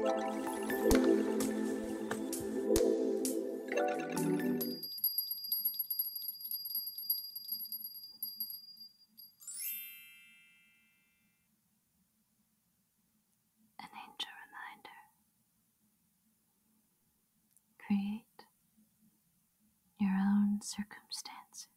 An angel reminder. Create your own circumstances.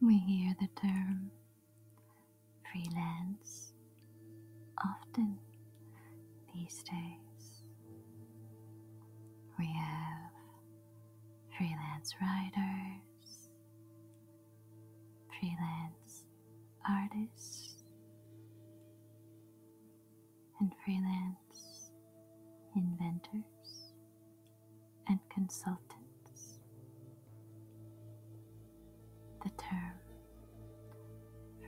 We hear the term freelance often these days. We have freelance writers, freelance artists, and freelance inventors and consultants. The term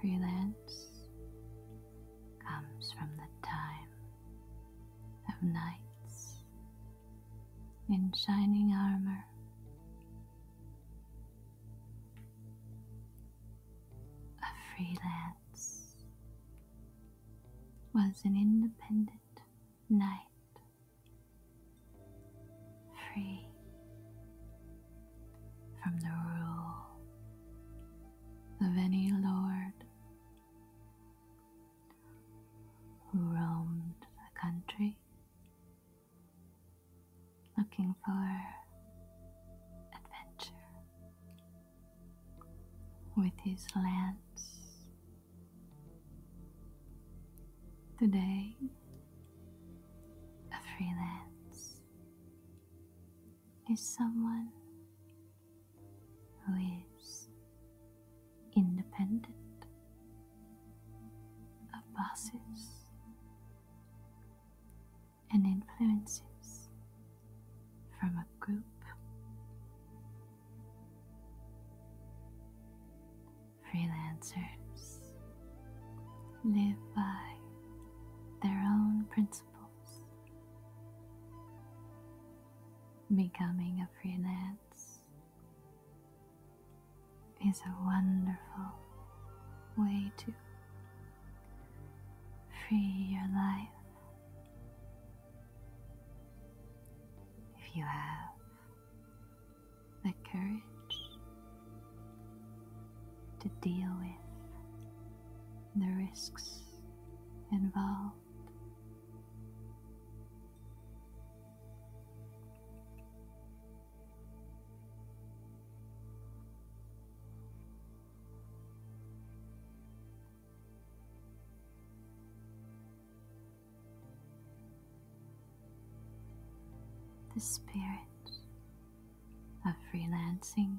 freelance comes from the time of knights in shining armor. A freelance was an independent knight free from the rule of any lord who roamed the country looking for adventure with his lance Today, a freelance is someone who is independent of bosses and influences from a group Freelancers live by their own principles. Becoming a freelance is a wonderful way to free your life. If you have the courage to deal with the risks involved. The spirit of freelancing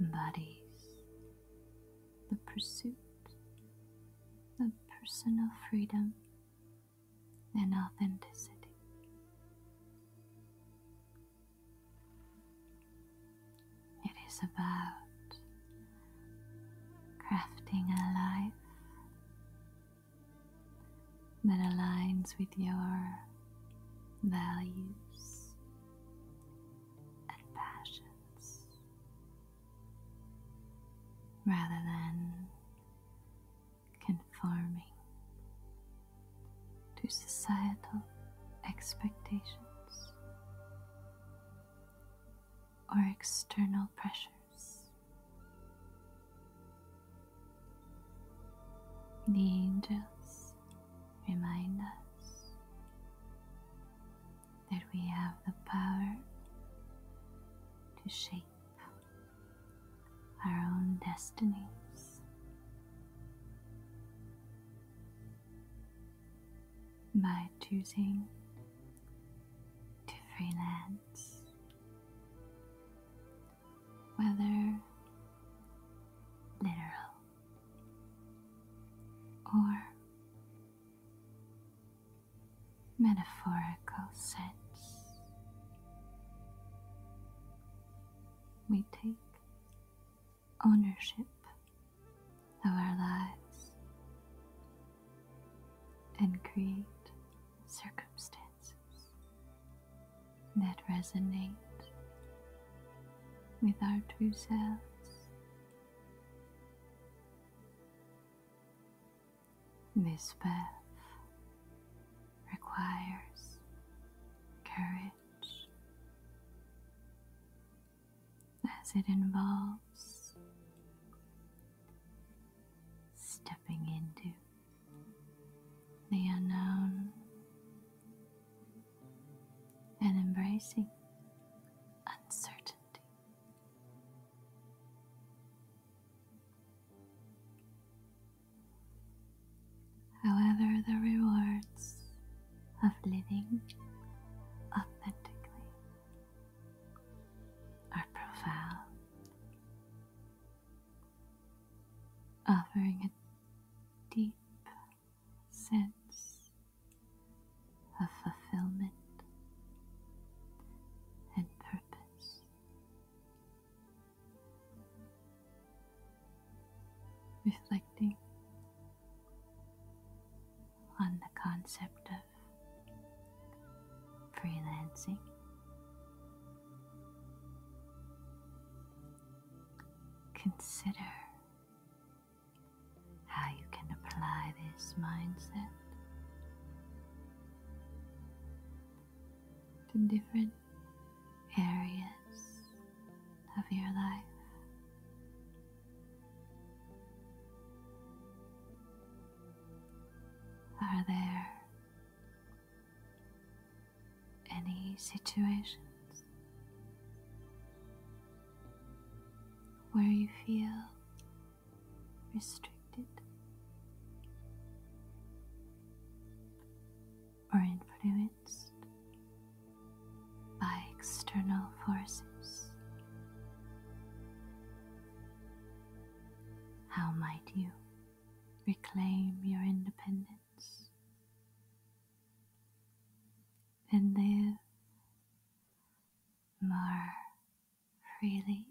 embodies the pursuit of personal freedom and authenticity. It is about crafting a life that aligns with your values and passions rather than conforming to societal expectations or external pressures. The angels remind us that we have the power to shape our own destinies by choosing to freelance. Whether literal or metaphorical sense, we take ownership of our lives and create circumstances that resonate with our true selves. This path requires courage as it involves stepping into the unknown and embracing uncertainty. However, the rewards of living authentically are profound, offering a deep sense of fulfillment and purpose. Reflecting on the concept of freelancing. Consider how you can apply this mindset to different areas of your life. Are there any situations where you feel restricted or influenced? by external forces. How might you reclaim your independence and live more freely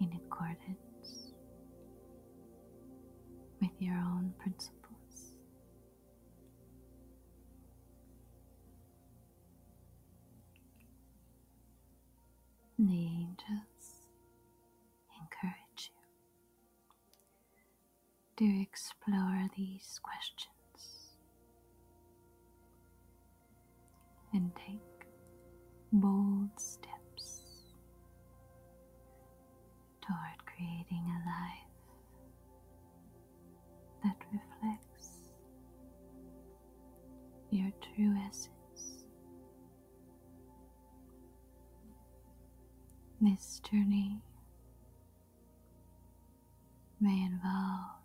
in accordance with your own principles? The angels encourage you to explore these questions and take bold steps toward creating a life that reflects your true essence. This journey may involve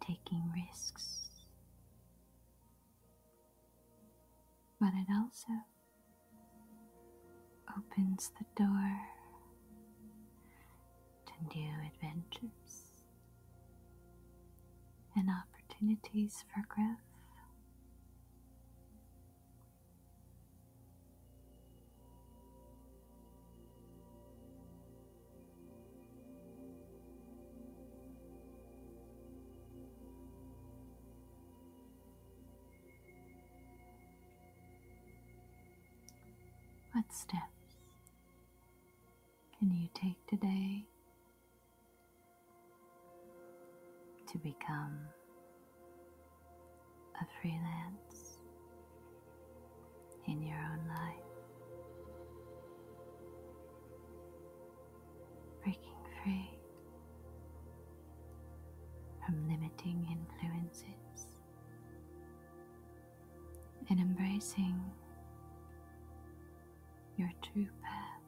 taking risks, but it also opens the door to new adventures and opportunities for growth. What steps can you take today to become a freelance in your own life? breaking free from limiting influences and embracing your true path.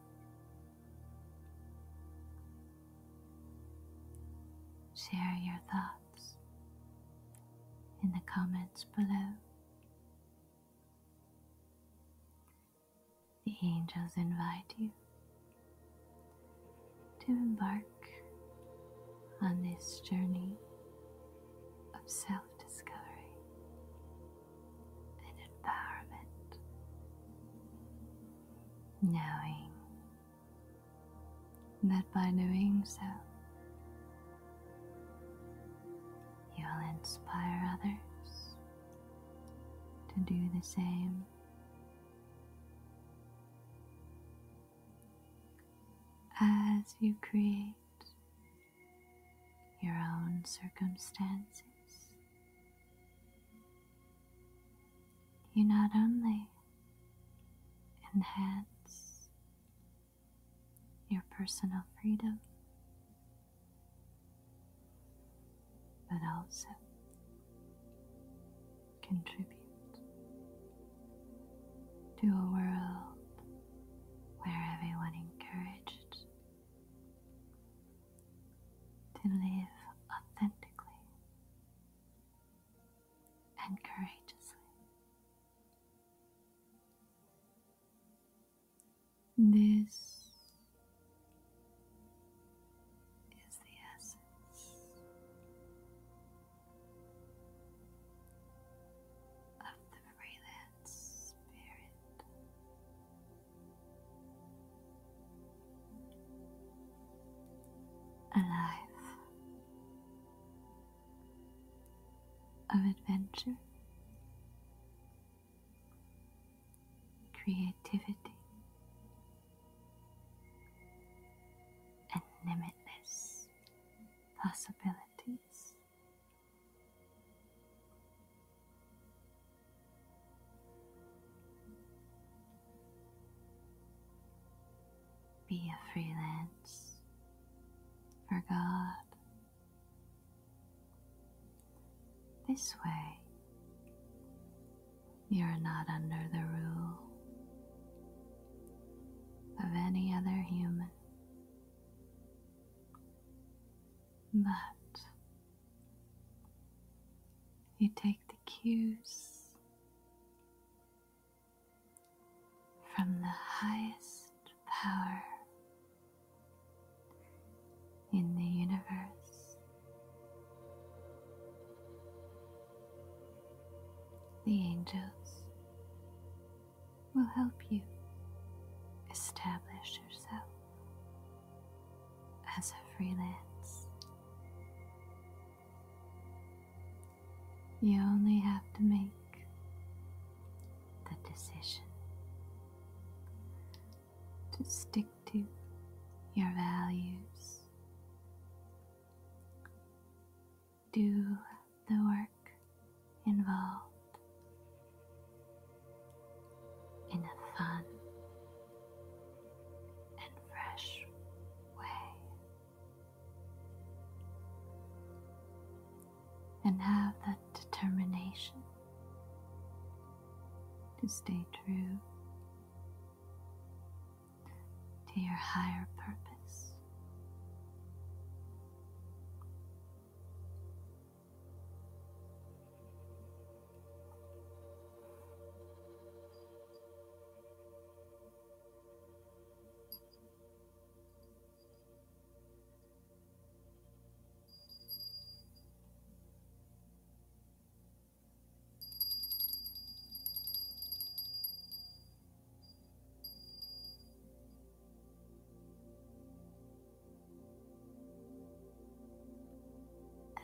Share your thoughts in the comments below the angels invite you to embark on this journey of self discovery and empowerment, knowing that by doing so, you'll inspire others to do the same. As you create your own circumstances, you not only enhance your personal freedom, but also contribute to a world where everyone encouraged to live authentically and courageously. This is the essence of the freelance spirit. A of adventure creativity, and limitless possibilities. Be a freelance for God. This way, you're not under the rule of any other human, but you take the cues from the highest power in the universe. The angels will help you establish yourself as a freelance. You only have to make the decision to stick to your values. Do the work involved in a fun and fresh way and have that determination to stay true to your higher purpose. An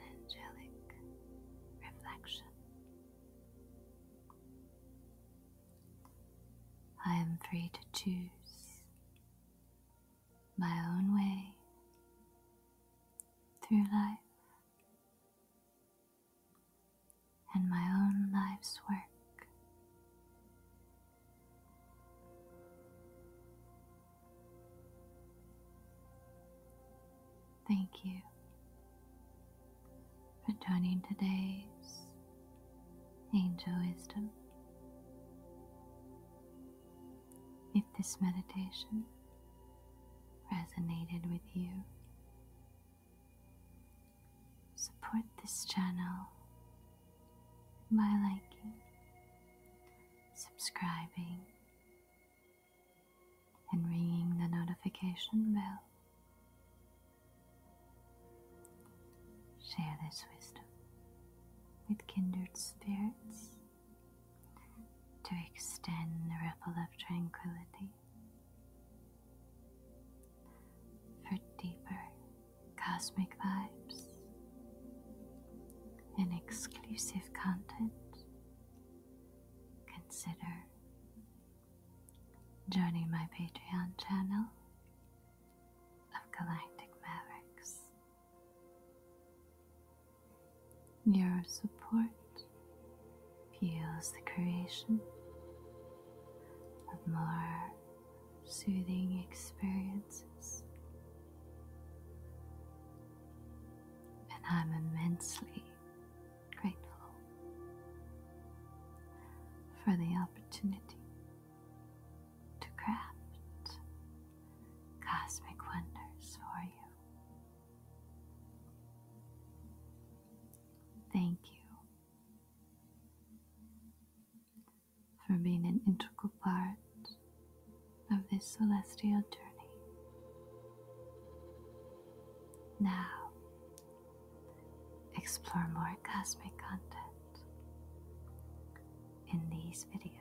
angelic reflection. I am free to choose my own way through life and my own life's work. Thank you for joining today's Angel Wisdom. If this meditation resonated with you, support this channel by liking, subscribing, and ringing the notification bell Share this wisdom with kindred spirits to extend the ripple of tranquility for deeper cosmic vibes and exclusive content. Consider joining my Patreon channel of galactic mavericks. Your support fuels the creation of more soothing experiences. And I'm immensely grateful for the opportunity to craft cosmic wonders for you. Thank you for being an integral part of this celestial journey. Now, Explore more cosmic content in these videos.